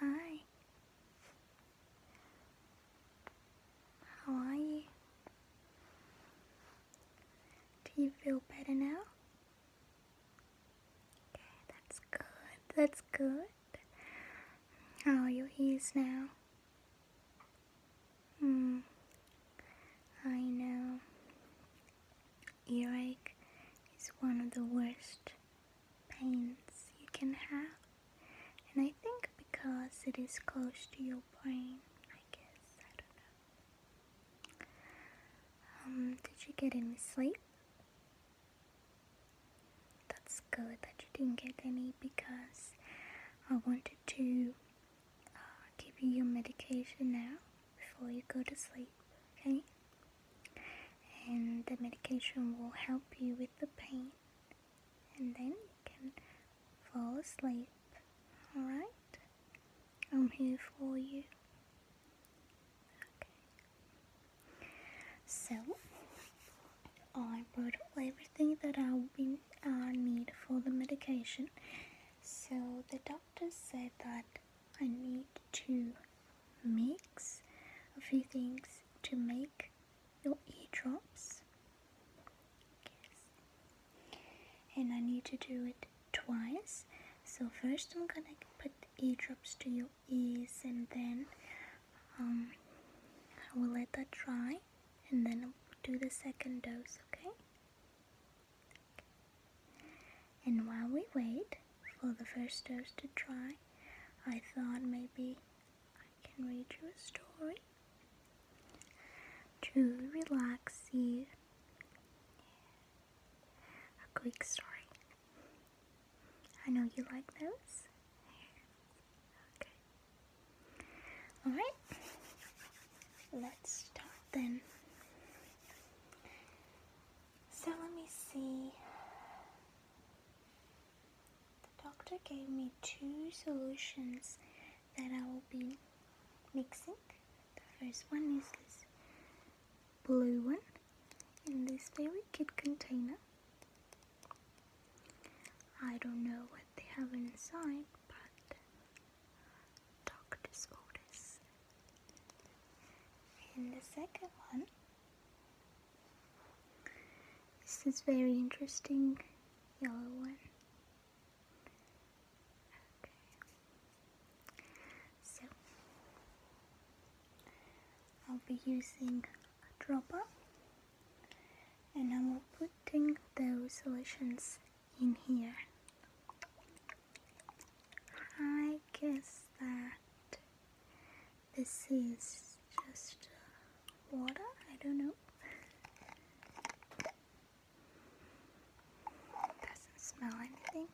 Hi. How are you? Do you feel better now? Okay, that's good. That's good. How are your ears now? Hmm. I know. Earache is one of the worst pains you can have. And I think because it is close to your brain, I guess, I don't know. Um, did you get any sleep? That's good that you didn't get any because I wanted to uh, give you your medication now before you go to sleep okay? And the medication will help you with the pain, and then you can fall asleep, alright? I'm here for you. Okay. So, I brought everything that I uh, need for the medication. So the doctor said that I need to mix a few things to make your eardrops. Yes. And I need to do it twice. So first I'm gonna put eardrops to your ears and then um, I will let that dry and then do the second dose, okay? And while we wait for the first dose to dry, I thought maybe I can read you a story to relax you. A quick story. I know you like those. Okay. Alright. Let's start then. So let me see. The doctor gave me two solutions that I will be mixing. The first one is this blue one in this very cute container. I don't know what they have inside, but doctor's orders. And the second one this is very interesting yellow one. So I'll be using a dropper and I'm putting those solutions in here. I guess that this is just uh, water, I don't know. Doesn't smell anything.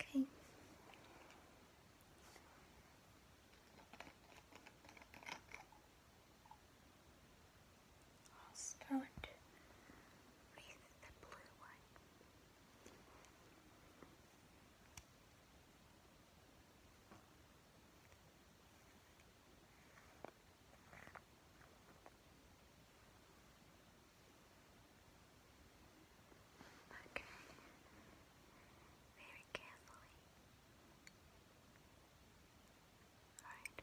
Okay. I'll start with the blue one. Okay, very carefully. Alright.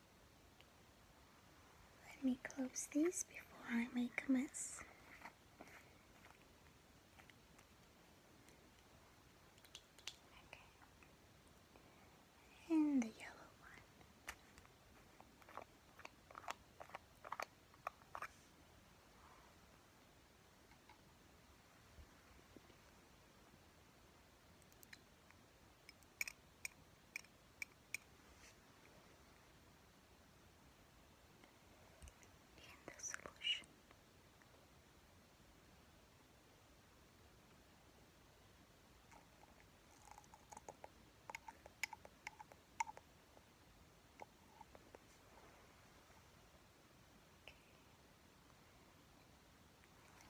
Let me close these before I make a mess. And the yellow one in the solution.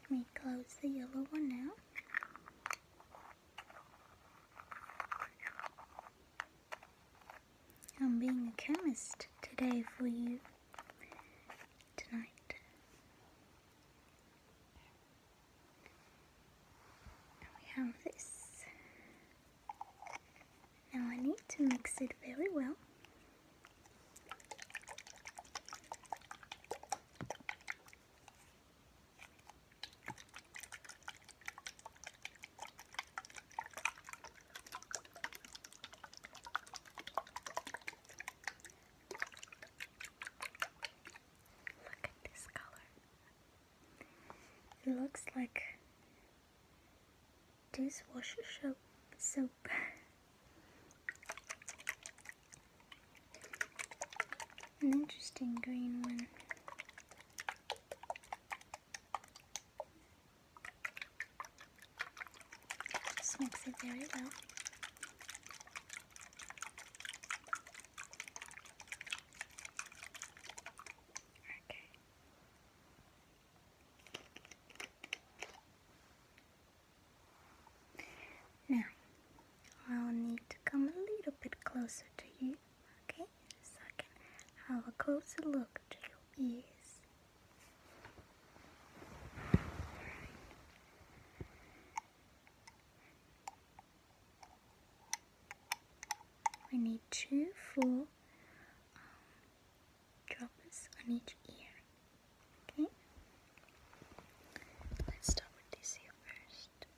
Let me close the yellow one now. I'm being a chemist today for you. Tonight. we have this. Now I need to mix it very well. Look at this color. It looks like dishwasher soap. an interesting green one. Just it very well. Okay. Now, I'll need to come a little bit closer to you. Okay, so I can have a closer look to your ears. We need two four um, droplets on each ear. Okay, let's start with this ear first.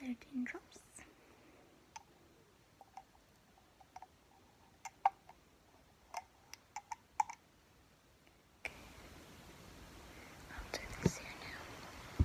Thirteen drops. Okay. I'll do this here now.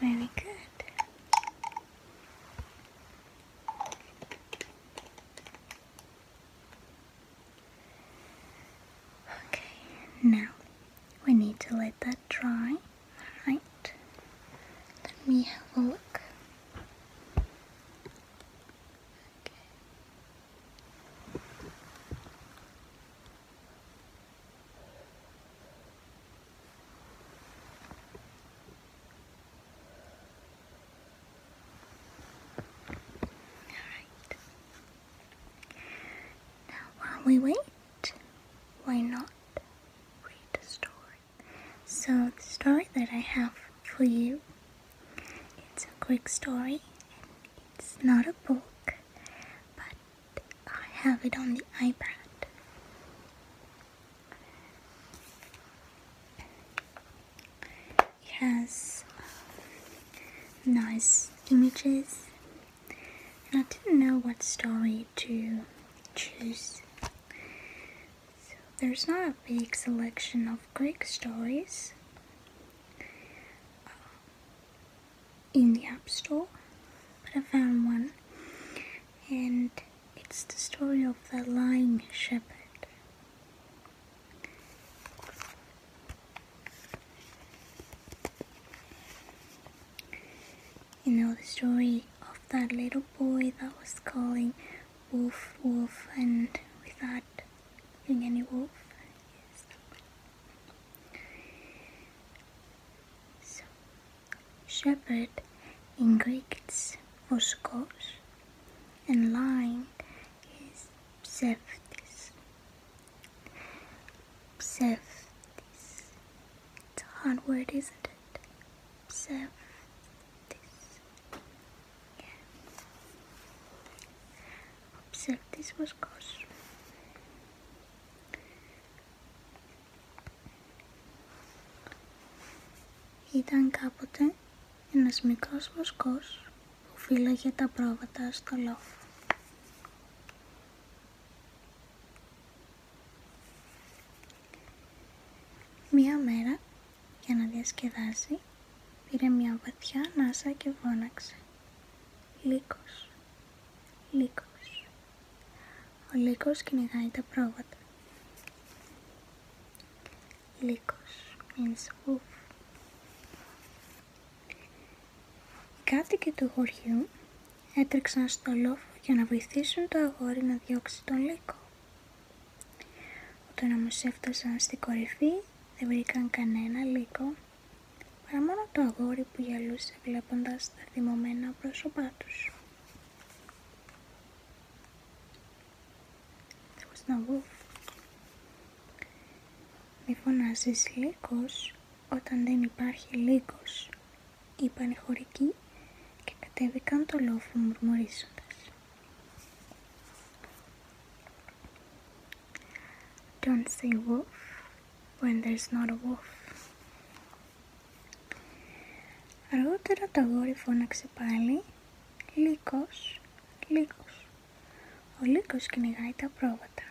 Very good. Okay, now we need to let that dry. Alright, let me have a look. Alright. Now, while we wait, why not read a story? So, the story that I have for you it's a quick story and it's not a book, but I have it on the iPad. It has um, nice images, and I didn't know what story to choose. So there's not a big selection of Greek stories uh, in the App Store, but I found one, and it's the story of the lying shepherd. You know the story of that little boy that was calling wolf wolf and we thought being any wolf. Yes. shepherd in Greek it's voskos, and lion is pseftis. Pseftis. It's a hard word, isn't it? Pseftis. Ο Ήταν κάποτε ένας μικρός βοσκός που φύλαγε τα πρόβατα στο λόφο. Μία μέρα για να διασκεδάσει, πήρε μια βαθιά ανάσα και φώναξε. Λύκος, λύκος. Ο λύκος κυνηγάει τα πρόβατα. Λύκος means wolf. Οι κάτοικοι του χωριού έτρεξαν στο λόφο για να βοηθήσουν το αγόρι να διώξει τον λύκο. Όταν όμως έφτασαν στην κορυφή δεν βρήκαν κανένα λύκο παρά μόνο το αγόρι που γυαλούσε, βλέποντας τα θυμωμένα πρόσωπά τους. να βγω. Μη φωνάζει λύκος όταν δεν υπάρχει λύκος, είπαν οι χωρικοί και κατέβηκαν το λόφο μουρμουρίζοντας. Don't say wolf when there's not a wolf. Αργότερα το αγόρι φώναξε πάλι «Λύκος, Λύκος». Ο Λύκος κυνηγάει τα πρόβατα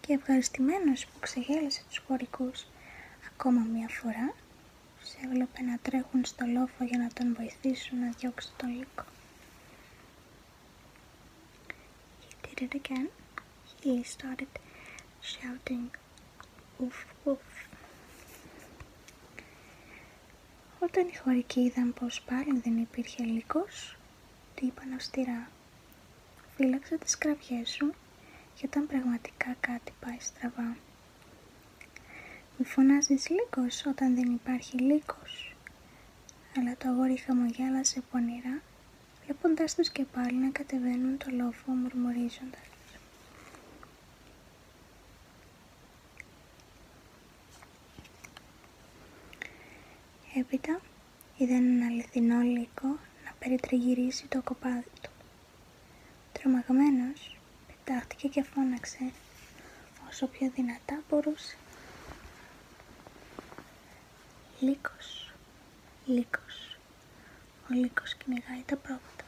και ευχαριστημένος που ξεγέλασε τους χωρικούς ακόμα μία φορά, σε έβλεπε να τρέχουν στο λόφο για να τον βοηθήσουν να διώξει τον Λύκο. He did it again. He started shouting, Ουφ, ουφ. Όταν οι χωρικοί είδαν πως πάλι δεν υπήρχε λύκος, Τη είπαν αυστηρά «Φύλαξε τις κραυγές σου και όταν πραγματικά κάτι πάει στραβά». Μη φωνάζεις λύκος όταν δεν υπάρχει λύκος. Αλλά το αγόρι χαμογέλασε πονηρά, βλέποντάς τους και πάλι να κατεβαίνουν το λόφο μουρμουρίζοντας. Έπειτα είδαν ένα αληθινό λύκο να περιτριγυρίσει το κοπάδι του. Τρομαγμένος πετάχτηκε και φώναξε όσο πιο δυνατά μπορούσε. Λύκος, λύκος. Ο λύκος κυνηγάει τα πρόβατα.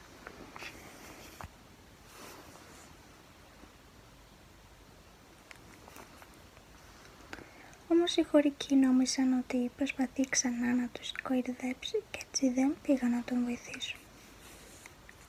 Όμως οι χωρικοί νόμισαν ότι προσπαθεί ξανά να τους κορυδέψει και έτσι δεν πήγαν να τον βοηθήσουν.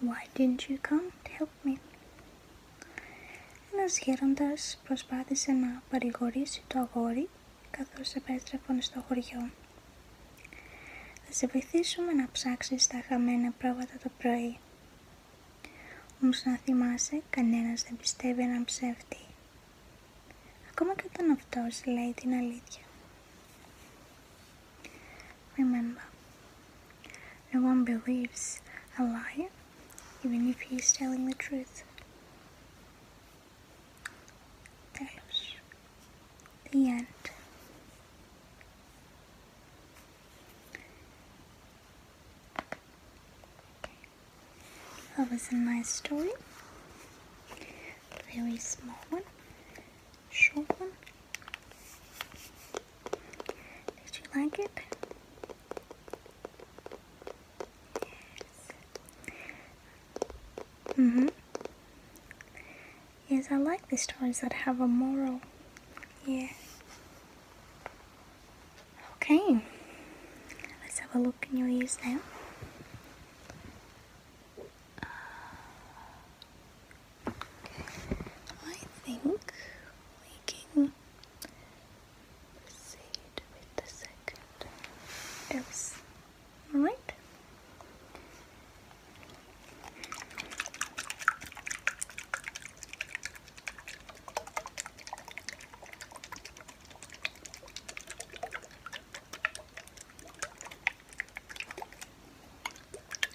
Why didn't you come to help me. γέροντας προσπάθησε να παρηγορήσει το αγόρι καθώς επέστρεφαν στο χωριό. Θα σε βοηθήσουμε να ψάξεις τα χαμένα πρόβατα το πρωί. Όμως να θυμάσαι, κανένας δεν πιστεύει έναν ψεύτη. Ακόμα και όταν αυτός λέει την αλήθεια. Remember, No one believes a liar, even if he is telling the truth. That's the end. That was a nice story. Very small one, short one. Did you like it? Yes. Mm-hmm. Yes, I like the stories that have a moral. Yeah. Okay. Let's have a look in your ears now. I think we can proceed with the second oops. Alright.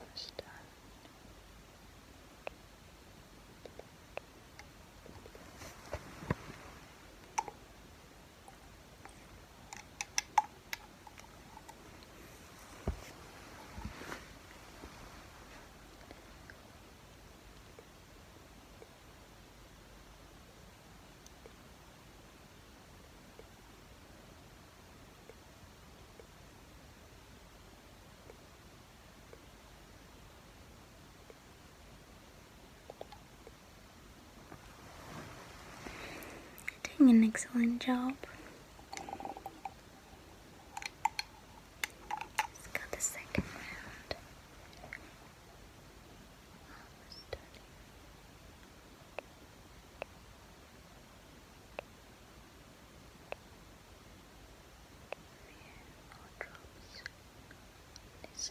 Almost done. Good. You're doing an excellent job. It's got the second round. Almost done. all drops. This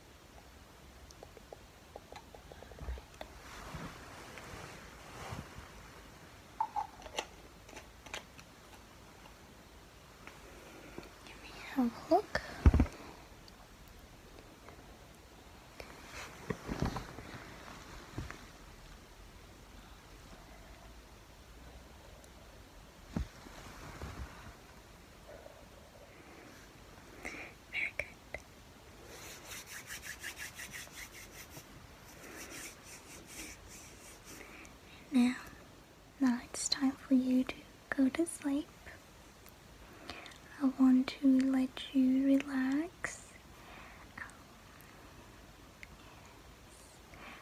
Let me have a look. Very good. Now, now it's time for you to go to sleep. I want to let you relax.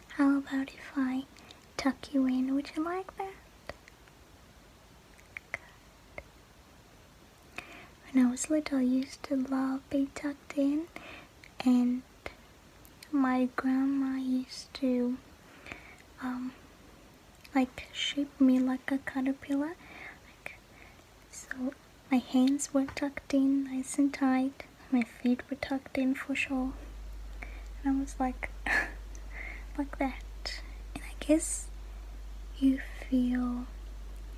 How about if I tuck you in? Would you like that? When I was little, I used to love being tucked in, and my grandma used to um, like shape me like a caterpillar. Like, so my hands were tucked in nice and tight. My feet were tucked in for sure. And I was like, like that. And I guess you feel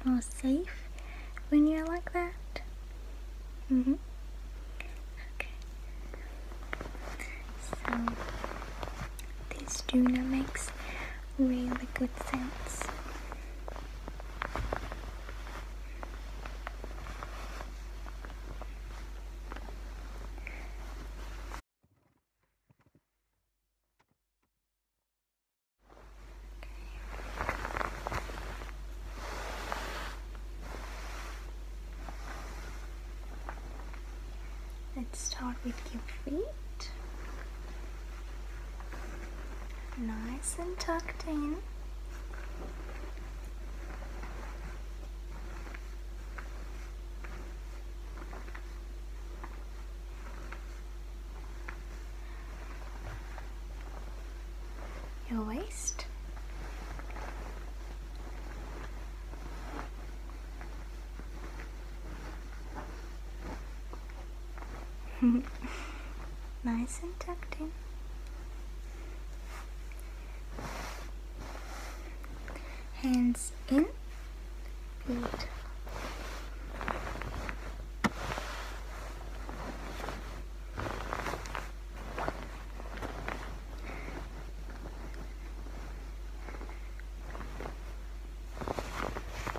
more safe when you're like that. Mm-hmm. Okay. So this tuner makes really good sense. Let's start with your feet. Nice and tucked in your waist. nice and tucked in. Hands in. Good.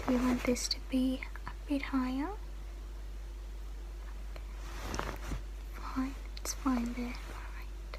we want this to be a bit higher fine it's fine there all right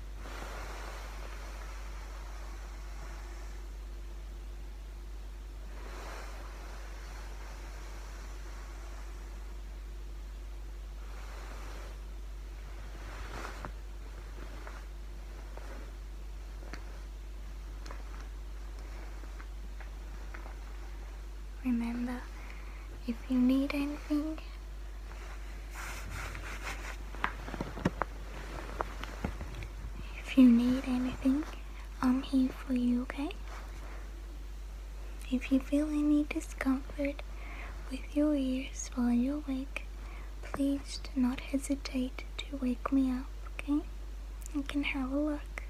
Remember, if you need anything, if you need anything, I'm here for you, okay? If you feel any discomfort with your ears while you're awake, please do not hesitate to wake me up, okay? I can have a look.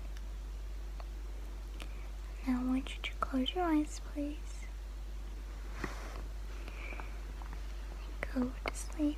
Now I want you to close your eyes, please. Go to sleep.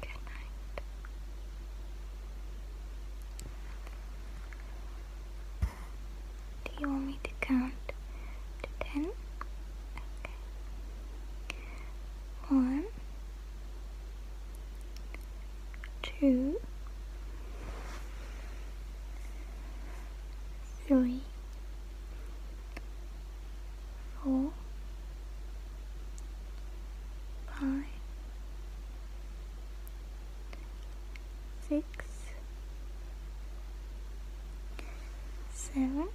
Good night. Do you want me to count to ten? One, two, three, four, five, six, seven,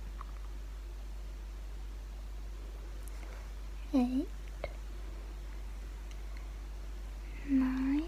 eight, nine, ten.